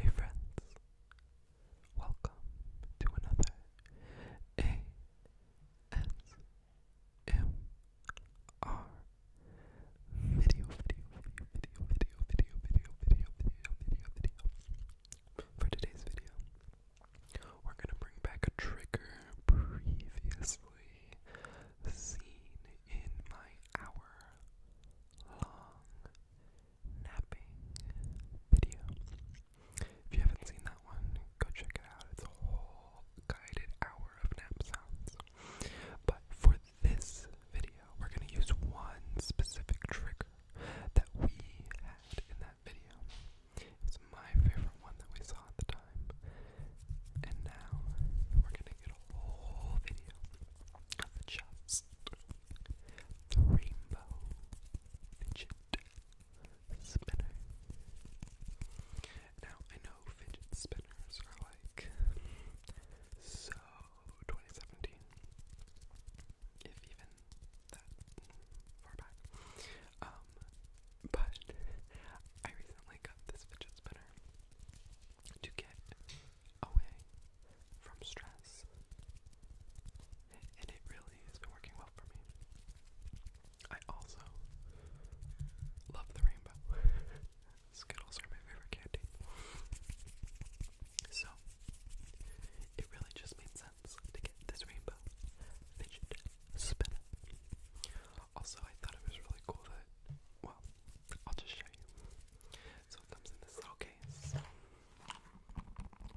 Hey friends, welcome to another ASMR video, video, video, video, video, video, video, video, video, video, video. For today's video, we're gonna bring back a trigger previously seen in my hour long napping video. If you haven't seen that one, go check it out. It's a whole guided hour of nap sounds. But for this video, we're going to use one specific trigger that we had in that video. It's my favorite one that we saw at the time. And now we're going to get a whole video just the rainbow fidget spinner. Now, I know fidget spinners are like so 2017, if even that far back. Um, but I recently got this fidget spinner to get away from stress. And it really has been working well for me. I also love the rainbow. Skittles are my favorite candy. So, it really just made sense to get this rainbow fidget spinner. Also, I thought it was really cool that, well, I'll just show you. So it comes in this little case,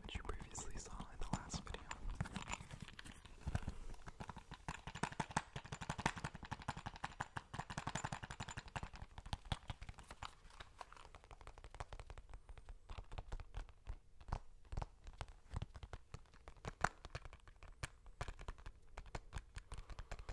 which you previously saw in the last video.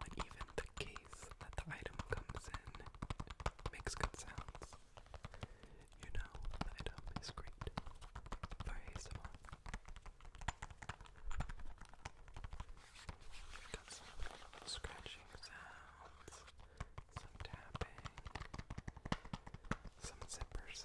But even the case that the item comes in makes good sounds. You know, the item is great for ASMR. Got some scratching sounds some tapping, some zipper sounds.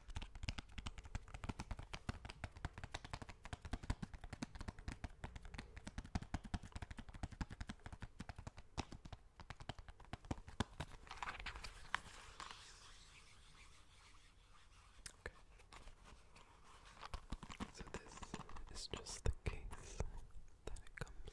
Okay. So this is just the case that it comes in.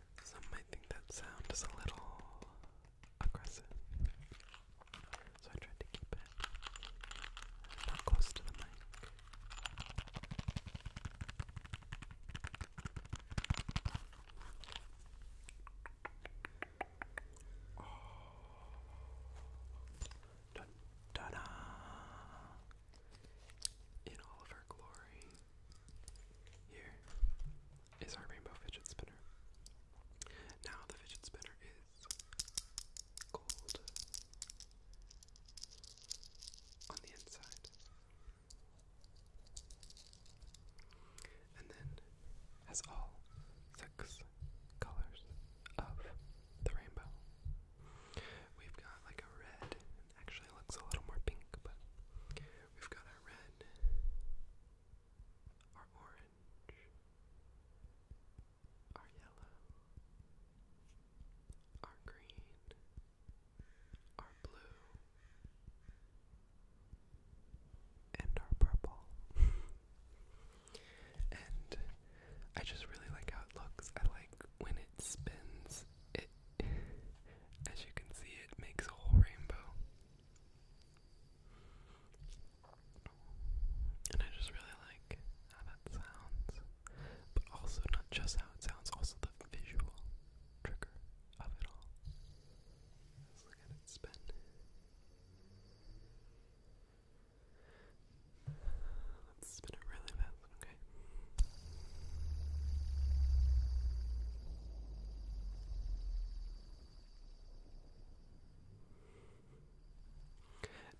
Some might think that sound is a little aggressive, so I tried to keep it not close to the mic. In all of her glory. Here, is our rainbow fidget spinner. Now the fidget spinner is gold on the inside. And then has all six colors of the rainbow. We've got like a red actually looks a little more pink, but we've got our red, our orange, our yellow, our green, our blue, and our purple. and I just really like how it looks. I like when it spins as you can see, it makes a whole rainbow. And I just really like how that sounds, but also not just how it sounds, also the visual trigger of it all. Let's look at it spin. Let's spin it really fast, okay?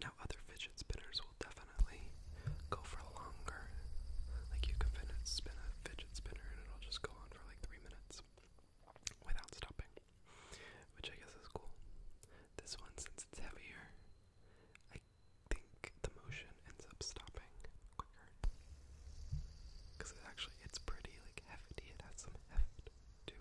Now, other fidget spinners will definitely go for longer. Like, you can spin a fidget spinner and it'll just go on for like three minutes without stopping, which I guess is cool. This one, since it's heavier, I think the motion ends up stopping quicker. Because it actually, it's pretty like hefty, it has some heft to it.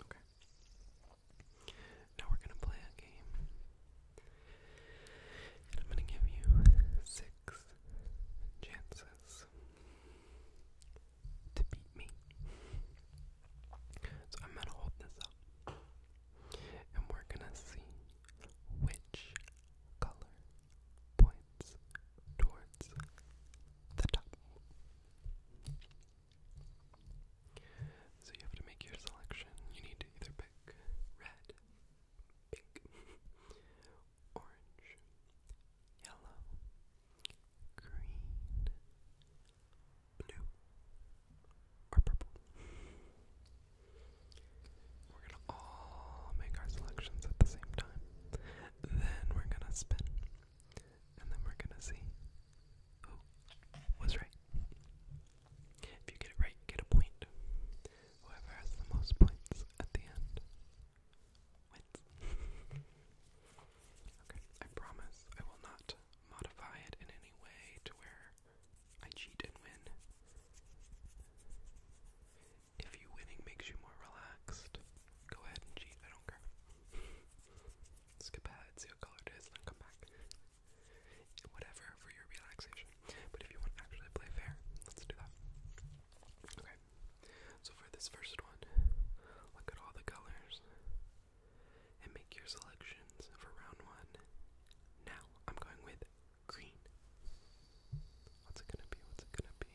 Okay. Now we're going to play a game. And I'm going to give you six chances to beat me. So I'm going to hold this up. And we're going to see which color points towards the top. So you have to make your selection. You need to either pick red, pink, orange, yellow, green, blue, or purple. We're gonna all make our selections at the same time. Then we're gonna spin. And then we're gonna see who was right. If you get it right, get a point. Whoever has the most points at the end wins. okay, I promise I will not modify it in any way to where I cheat and win if you winning makes you more relaxed, go ahead and cheat. I don't care. Skip ahead, see what color it is, then come back. Whatever for your relaxation. But if you want to actually play fair, let's do that. Okay. So for this first one, look at all the colors and make your selections for round one. Now I'm going with green. What's it gonna be? What's it gonna be?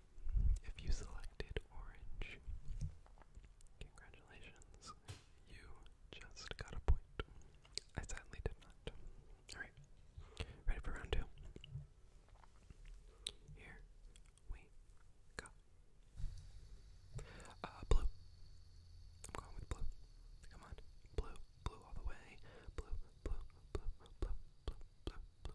If you selected orange, congratulations. You just got a point. I sadly did not. Alright. Ready for round two? Here we go. Uh, blue. I'm going with blue. Come on. Blue. Blue all the way. Blue, blue, blue, blue, blue, blue,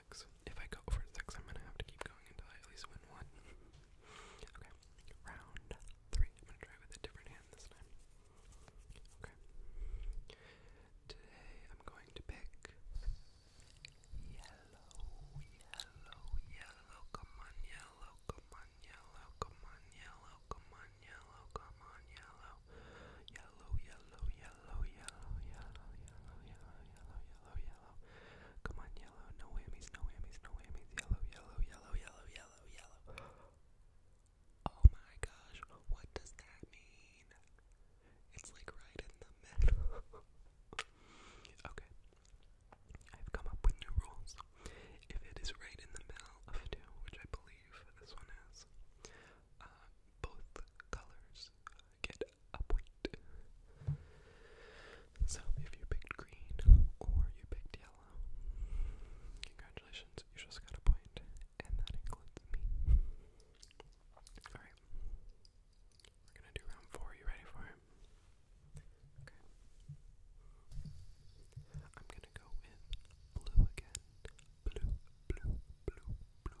if I go over six, I'm gonna have to keep going until I at least win one. okay, round three. I'm gonna try with a different hand this time. Okay. Today I'm going to pick yellow, yellow, yellow. Come on, yellow. Come on, yellow. Come on, yellow. Come on, yellow. Come on, yellow. Yellow, yellow, yellow, yellow, yellow, yellow, yellow, yellow, yellow, yellow, Come on, yellow. No whammies, no whammies, no whammies. Yellow, yellow, yellow, yellow, yellow, yellow. Oh my gosh, what does that mean? It's like right in the middle. okay. I've come up with new rules. If it is right in the middle of two, which I believe this one is, uh, both colors get a point. So if you picked green or you picked yellow, congratulations, you just got a point, and that includes me. Alright. We're gonna do round four. You ready for it? Okay. I'm gonna go with blue again. Blue, blue, blue, blue, blue, blue,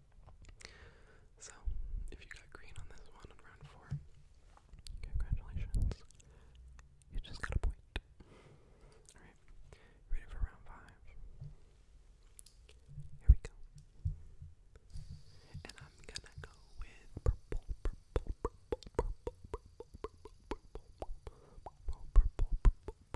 So, if you got green on this one in round four, congratulations. You just got a point. Alright, ready for round five. Here we go. And I'm gonna go with and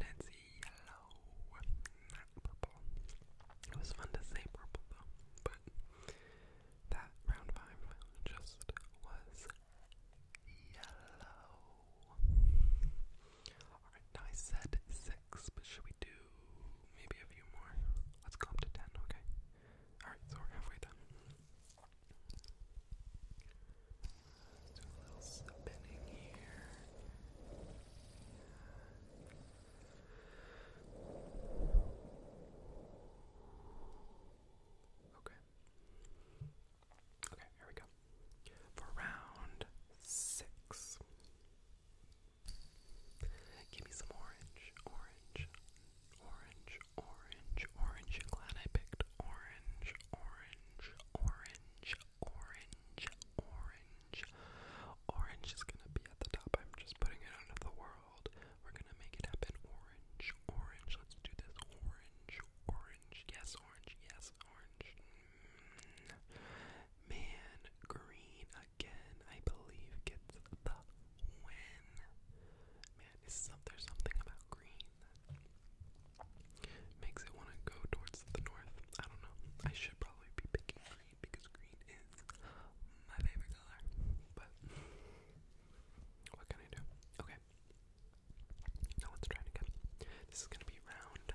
it's yellow, not purple. It was fun to say purple though, but that round five just was yellow. Alright, now I said six, but should we do maybe a few more? Let's go up to ten, okay? Alright, so we're halfway done. do a little spinning here. Okay. Okay, here we go. For round six. Give me some orange, orange, orange, orange, orange. glad I picked orange, orange, orange, orange, orange. Orange is gonna be at the top. I'm just putting it out of the world. We're gonna make it happen. Orange, orange. Let's do this. Orange, orange. Yes, orange. Yes, orange. Man Green again, I believe, gets the win. there's something about green that makes it want to go towards the north. I don't know. I should probably be picking green because green is my favorite color. But what can I do? Okay. Now let's try it This is gonna be round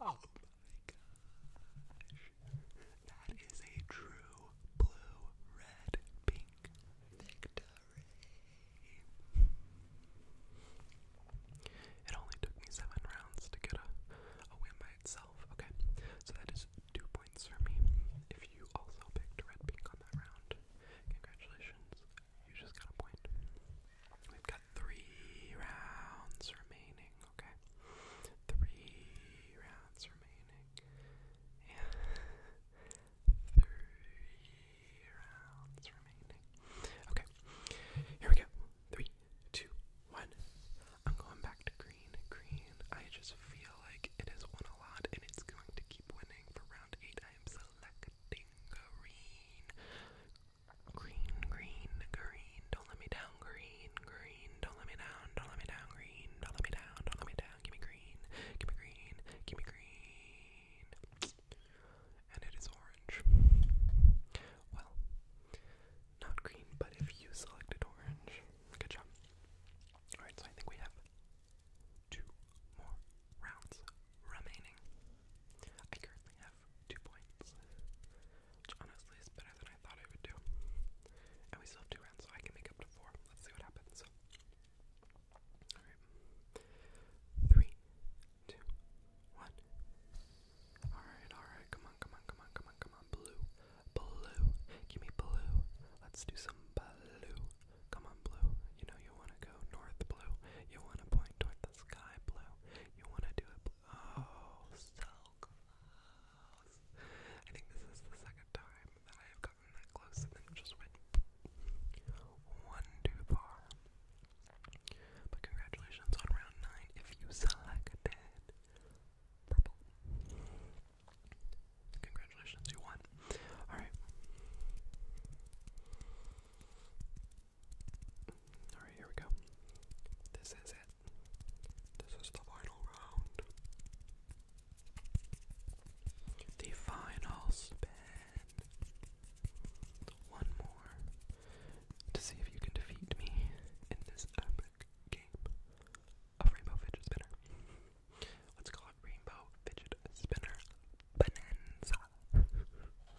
Oh my god! That is a true blue, red, pink victory. It only took me seven rounds to get a, a win by itself. Okay, so that is two points for me. If you also picked red, pink on that round, congratulations. You just got a point. We've got three rounds remaining, okay? Three rounds remaining. Yeah. Three rounds remaining. Okay. Here we go. Three, two, one. I'm going back to green. Green. I just feel like it has won a lot and it's going to keep winning for round eight. I am selecting green. Green, green, green, don't let me down, green, green, don't let me down, don't let me down, green, don't let me down, don't let me down, give me green, give me green, give me green. And it is orange. Well, not green, but if you selected orange, good job. Alright, so I think we have two more rounds remaining. I currently two points, which honestly is better than I thought I would do. And we still have two rounds, so I can make up to four. Let's see what happens. Alright. Three, two, one. Alright, alright. Come on, come on, come on, come on, come on. Blue. Blue. Give me blue. Let's do some blue. Come on, blue. You know you want to go north blue. You want to point toward sky blue. You want to do it Oh, so close. I think this is the second time that I have gotten that close and then just went one too far. But congratulations on round 9 if you selected purple. Congratulations, you won. Alright. Alright, here we go. This is it. This is the final round. The final spin. One more to see if you can defeat me in this epic game of Rainbow Fidget Spinner. Let's call it Rainbow Fidget Spinner Bonanza.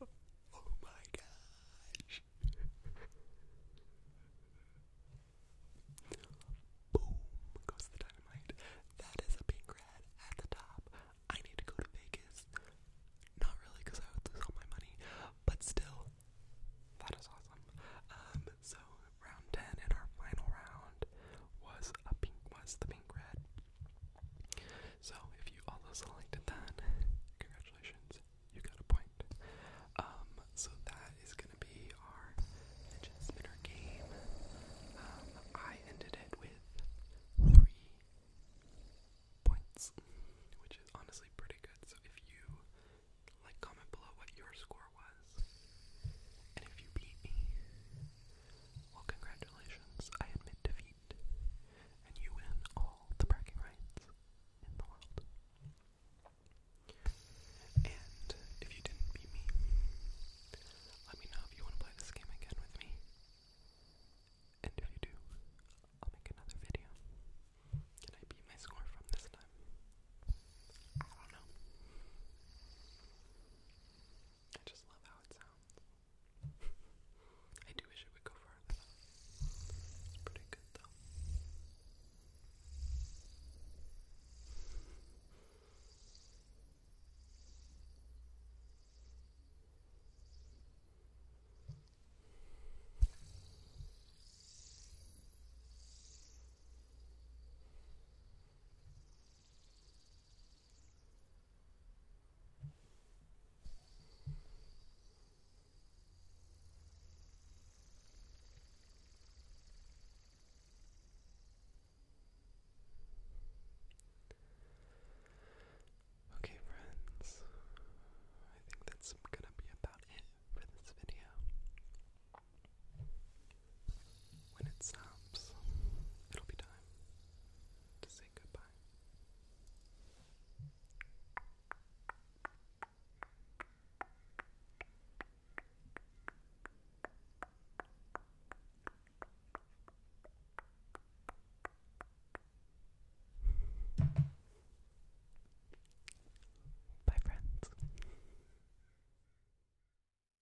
Oh my gosh. Boom goes the dynamite. That is a pink red at the top. I need to go to Vegas. Not really because I would lose all my money, but still, that is awesome. Um, so round ten in our final round was a pink was the so if you also selected that, congratulations, you got a point. Um, so that is gonna be our fidget spinner game. Um, I ended it with three points, which is honestly pretty good. So if you like, comment below what your score was, and if you beat me, well, congratulations, I admit defeat, and you win all the bragging rights in the world. And if you didn't beat me, let me know if you want to play this game again with me. And if you do, I'll make another video. Can I beat my score from this time? I don't know. I just love how it sounds. I do wish it would go further. It's pretty good though. Okay, friends, I think that's gonna be about it for this video. When it stops, it'll be time to say goodbye. Bye, friends.